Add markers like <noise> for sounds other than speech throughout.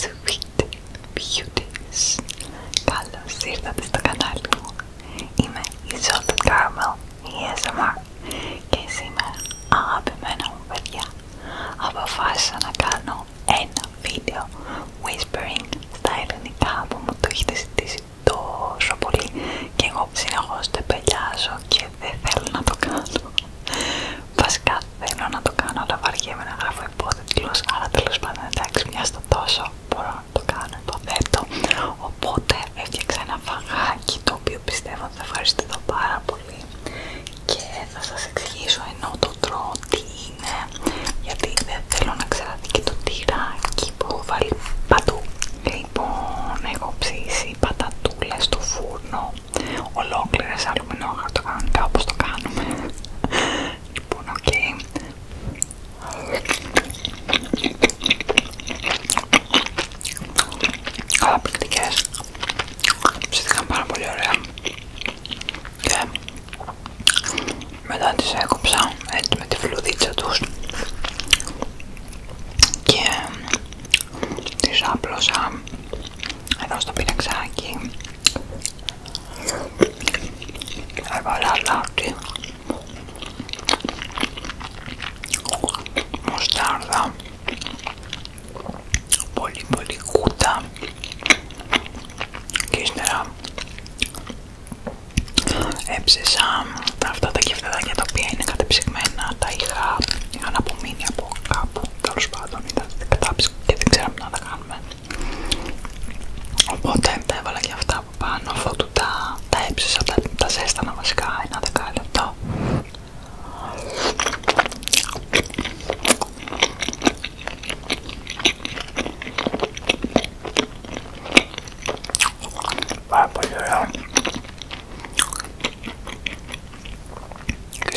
Sweet Beauties Καλώς ήρθατε στο κανάλι μου Είμαι η Salt Caramel, η ASMR και σήμερα αγαπημένα μου παιδιά αποφάσισα να κάνω ένα βίντεο whispering στα ελληνικά που μου το έχετε ζητήσει τόσο πολύ και εγώ συνεχώς το επελιάζω και δεν θέλω να το κάνω Βασικά θέλω να το κάνω, αλλά βαριέμαι να γράφω υπότιτλους, αλλά τέλος πάντων εντάξει, μια το τόσο μπορώ να το κάνω, υποθέτω. Οπότε έφτιαξα ένα φαγάκι το οποίο πιστεύω ότι θα ευχαριστεί εδώ πάρα πολύ και θα σας εξηγήσω ενώ το τρώω τι είναι, γιατί δεν θέλω να ξεραθεί και το τυράκι που έχω βάλει παντού. Λοιπόν, έχω ψήσει πατατούλες στο φούρνο, ολόκληρες το κάνω όπως το κάνουμε Λοιπόν, οκ. Ψήθηκαν πάρα πολύ ωραία. Και μετά τις έκοψα έτσι με τη φλουδίτσα τους και τις άπλωσα εδώ στο πιναξάκι Aivan lalaatti. μοστάρδα, Πολύ πολύ κούτα. Και ύστερα έψησα αυτά τα κεφτεδάκια τα οποία είναι κατεψυγμένα. Τα είχα, είχαν απομείνει από κάπου. Τέλο πάντων ήταν κατάψυξη και δεν ξέραμε να τα κάνουμε. Οπότε τα έβαλα και αυτά από πάνω, τα, τα έψησα, τα, τα ζέστανα βασικά ένα και πολύ ωραία. Και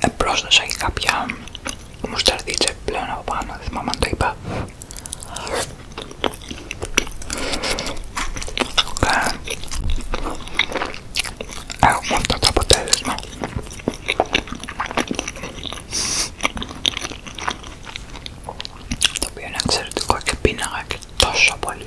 ε, πρόσθεσα και κάποια μουσταρδίτσα πλέον από πάνω, δεν θυμάμαι αν το είπα και έχουμε αυτό το αποτέλεσμα το οποίο είναι εξαιρετικό και πίναγα και τόσο πολύ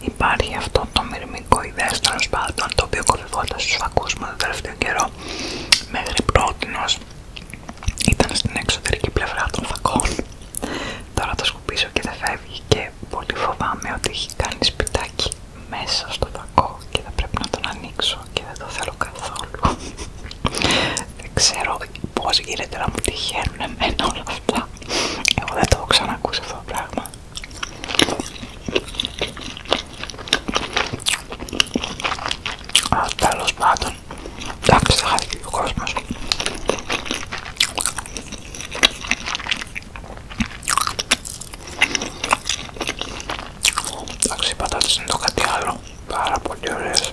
υπάρχει αυτό το μυρμικό ιδέα τέλος πάντων το οποίο κορυφώντας στους φακούς μου τον τελευταίο καιρό μέχρι πρότινος ήταν στην εξωτερική πλευρά των φακών τώρα το σκουπίζω και δεν φεύγει και πολύ φοβάμαι ότι έχει κάνει σπιτάκι μέσα στο φακό και θα πρέπει να τον ανοίξω και δεν το θέλω καθόλου <laughs> δεν ξέρω πως γίνεται να μου τυχαίνουν εμένα όλα αυτά εγώ δεν το έχω ξανακούσει αυτό το πράγμα. Αλλά τέλος πάντων, εντάξει θα χάθηκε ο κόσμος. Εντάξει οι πατάτες είναι το κάτι άλλο, πάρα πολύ ωραίες.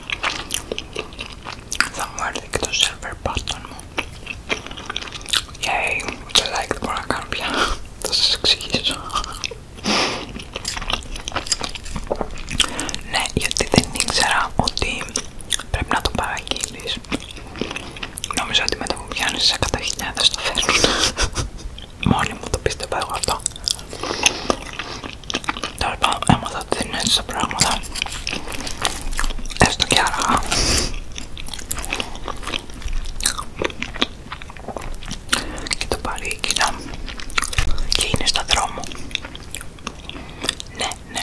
Θα μου έρθει και το σερβέρ button μου. Yay, το like δεν μπορώ να κάνω πια. <laughs> Θα σας εξηγήσω. ναι, γιατί δεν ήξερα ότι πρέπει να το παραγγείλεις. Νομίζω ότι μετά που πιάνεις σε 100.000 το φέρνουν. <laughs> Μόνοι μου το πίστευα εγώ αυτό. Τώρα πάνω έμαθα ότι είναι έτσι τα πράγματα. Έστω και αργά. Και το πάρει εκείνα. Και είναι στα δρόμο. Ναι, ναι.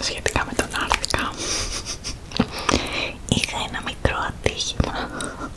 Σχετικά με τον άρθικα είχα ένα μικρό ατύχημα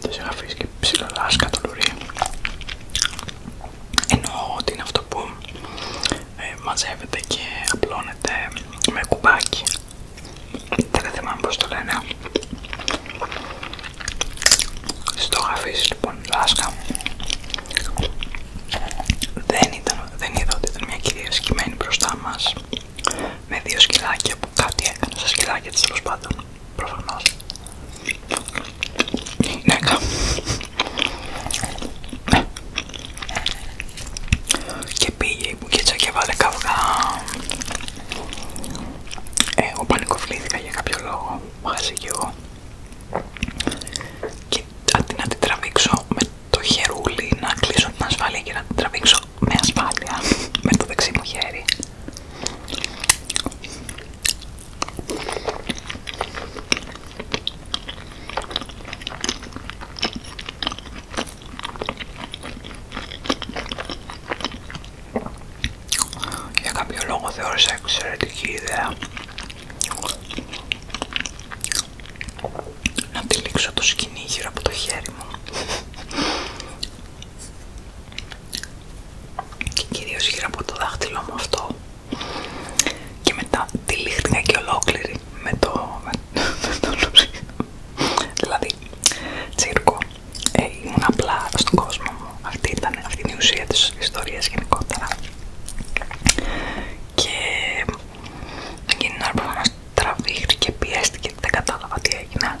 Τις γράφεις και το λουρί, Εννοώ ότι είναι αυτό που ε, μαζεύεται και απλώνεται με κουμπάκι. Δεν θυμάμαι πώς το λένε. Στο γραφείς λοιπόν λάσκα Δεν, δεν είδα ότι ήταν μια κυρία σκημένη μπροστά μας με δύο σκυλάκια που κάτι έκανε στα σκυλάκια της τέλος πάντων, προφανώς. Ναι, ναι. Και πήγε η μπουκίτσα και βάλε καυγά. Ε, εγώ πανικοφλήθηκα για κάποιο λόγο, μαζί κι εγώ. Και αντί να την τραβήξω με το χερούλι, να κλείσω την ασφάλεια και να την τραβήξω με ασφάλεια με το δεξί μου χέρι. Για κάποιο λόγο θεώρησα εξαιρετική ιδέα να τυλίξω το σκηνή γύρω από το χέρι μου και κυρίως γύρω από το δάχτυλο μου αυτό και μετά τη λίχτηκα και ολόκληρη με το, με, δηλαδή τσίρκο ε, ήμουν απλά στον κόσμο μου αυτή ήταν αυτή η ουσία της ιστορίας γενικότερα και εκείνη την ώρα που μας τραβήχτηκε πιέστηκε δεν κατάλαβα τι έγινε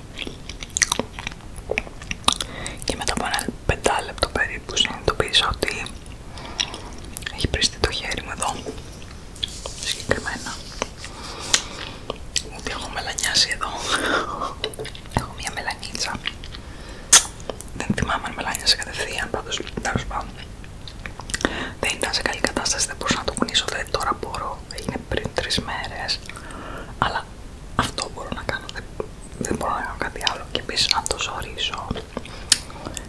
και μετά από ένα πεντάλεπτο περίπου συνειδητοποίησα ότι έχει πριστεί το χέρι μου εδώ συγκεκριμένα ότι έχω μελανιάσει εδώ έχω μια μελανίτσα δεν θυμάμαι αν μελάνιασε κατευθείαν πάντως τέλος πάντων δεν ήταν σε καλή κατάσταση, δεν μπορούσα να το κουνήσω, δεν δηλαδή τώρα μπορώ, έγινε πριν τρεις μέρες αλλά αυτό μπορώ να κάνω, δεν, μπορώ να κάνω κάτι άλλο. Και επίση να το ζωρίσω,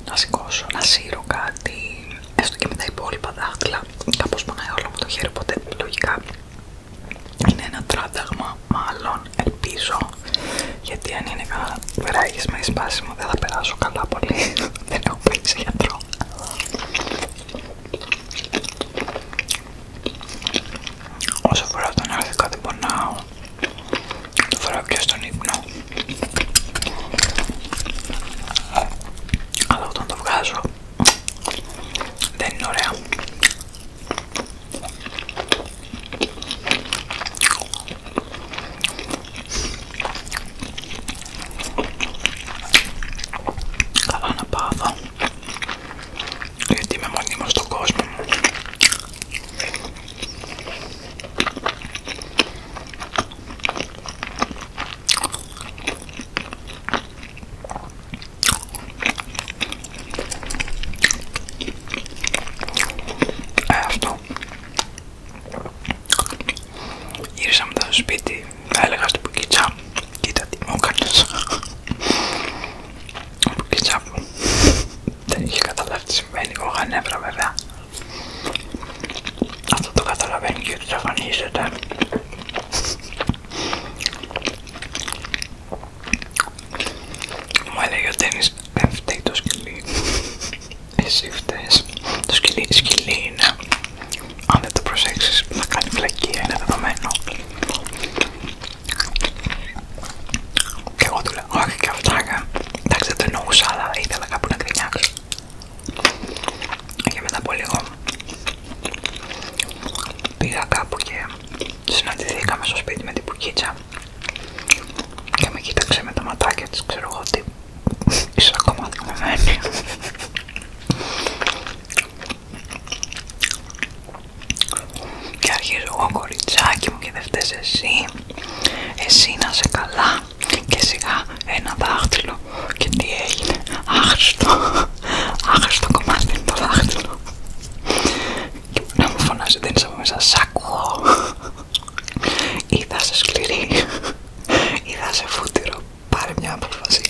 να σηκώσω, να σύρω κάτι, έστω και με τα υπόλοιπα δάχτυλα. τα πονάει όλο μου το χέρι, οπότε λογικά είναι ένα τράνταγμα. Μάλλον ελπίζω, γιατί αν είναι κανένα βεράγεις με σπάσιμο, δεν θα περάσω καλά πολύ. <laughs> δεν έχω πάει σε γιατρό. Όσο φορά τον άρθηκα κάτι πονάω. Το φοράω και στον ύπνο. Αλλά όταν το βγάζω δεν είναι ωραία. Καλά να πάω γιατί είμαι μονίμως στον κόσμο μου. Ε, αυτό. Γύρισα με στο σπίτι, έλεγα στην πουκίτσα, κοίτα τι μου έκανες από κετσάπου. <laughs> Δεν είχε καταλάβει τι συμβαίνει, εγώ νεύρα βέβαια. Αυτό το καταλαβαίνει και εξαφανίζεται. Μου έλεγε ο Τένις, δεν φταίει το σκυλί. <laughs> Εσύ φταίς. Το σκυλί, σκυλί είναι. Αν δεν το προσέξεις θα κάνει φλακία, είναι δεδομένο. Και εγώ του λέω, όχι και αυτά, εντάξει δεν το εννοούσα, αλλά ήθελα κάπου να γκρινιάξω. Και μετά από λίγο πήγα κάπου και συναντηθήκαμε στο σπίτι με την Πουκίτσα και με κοίταξε με τα ματάκια της, ξέρω εγώ ότι είσαι ακόμα δικαμένη. Και αρχίζω εγώ κοριτσάκι μου και δε φταίς εσύ Εσύ να σε καλά Και σιγά ένα δάχτυλο Και τι έγινε Άχρηστο Άχρηστο κομμάτι είναι το δάχτυλο Και να μου φωνάζει δεν είσαι από μέσα Σ' ακούω Ή θα σε σκληρή Ή θα σε φούτυρο Πάρε μια αποφασία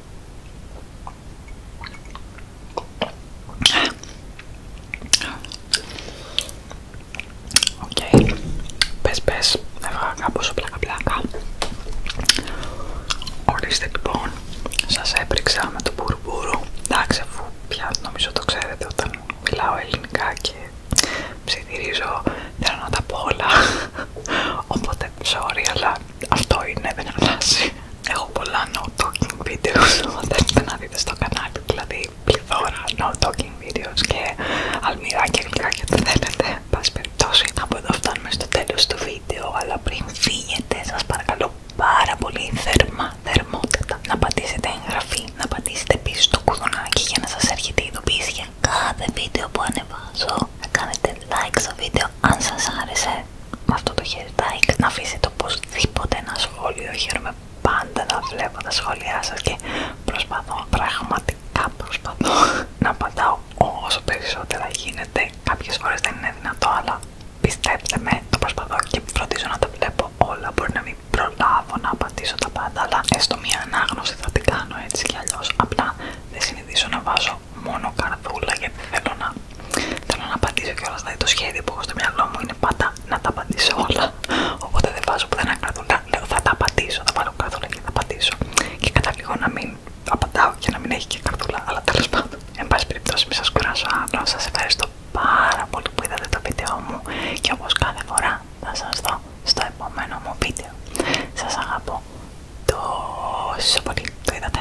Οκ, okay. πες πες, έβγαγα πλάκα πλάκα. Ορίστε λοιπόν, σας έπριξά με το μπουρμπούρου. Εντάξει, αφού πια νομίζω το ξέρετε όταν μιλάω ελληνικά και ψιθυρίζω, θέλω να τα πω όλα. Οπότε sorry, αλλά αυτό είναι, δεν αλλάζει. Έχω πολλά no talking videos, αν θέλετε να δείτε στο κανάλι, δηλαδή πληθώρα no talking videos και αλμυρά και γλυκά και ό,τι θέλετε. Πάση περιπτώσει, από εδώ φτάνουμε στο τέλος του βίντεο, αλλά πριν φύγετε σας παρακαλώ πάρα πολύ θερμά, θερμότητα. να πατήσετε εγγραφή, να πατήσετε πίσω το κουδουνάκι για να σας έρχεται η ειδοποίηση για κάθε βίντεο που ανεβάζω να κάνετε like στο βίντεο αν σας άρεσε αυτό το χαιρετάκι να αφήσετε οπωσδήποτε ένα σχόλιο χαίρομαι πάντα να βλέπω τα σχόλιά σας και προσπαθώ πραγματικά προσπαθώ <laughs> να πατάω όσο περισσότερα γίνεται κάποιες φορές δεν είναι δυνατό αλλά πιστέψτε με το προσπαθώ και φροντίζω να τα βλέπω όλα μπορεί να μην προλάβω να απαντήσω τα πάντα αλλά έστω μια ανάγνωση θα την κάνω έτσι κι αλλιώς απλά δεν συνηθίζω να βάζω μόνο καρδούλα γιατί θέλω να, θέλω να απαντήσω και όλα δηλαδή το σχέδιο που έχω στο μυαλό μου είναι πάντα να τα απαντήσω όλα οπότε δεν βάζω πουθενά καρδούλα, λέω θα τα απαντήσω, θα βάλω καρδούλα και θα απαντήσω και κατά λίγο να μην απαντάω και να μην έχει και καρδούλα, αλλά τέλος πάντων εν πάση περιπτώσει μην σας κουράσω άλλο, σας ευχαριστώ πάρα πολύ που είδατε το βίντεο μου και όπως κάθε φορά θα σας δω στο επόμενο μου βίντεο σας αγαπώ τόσο πολύ, το είδατε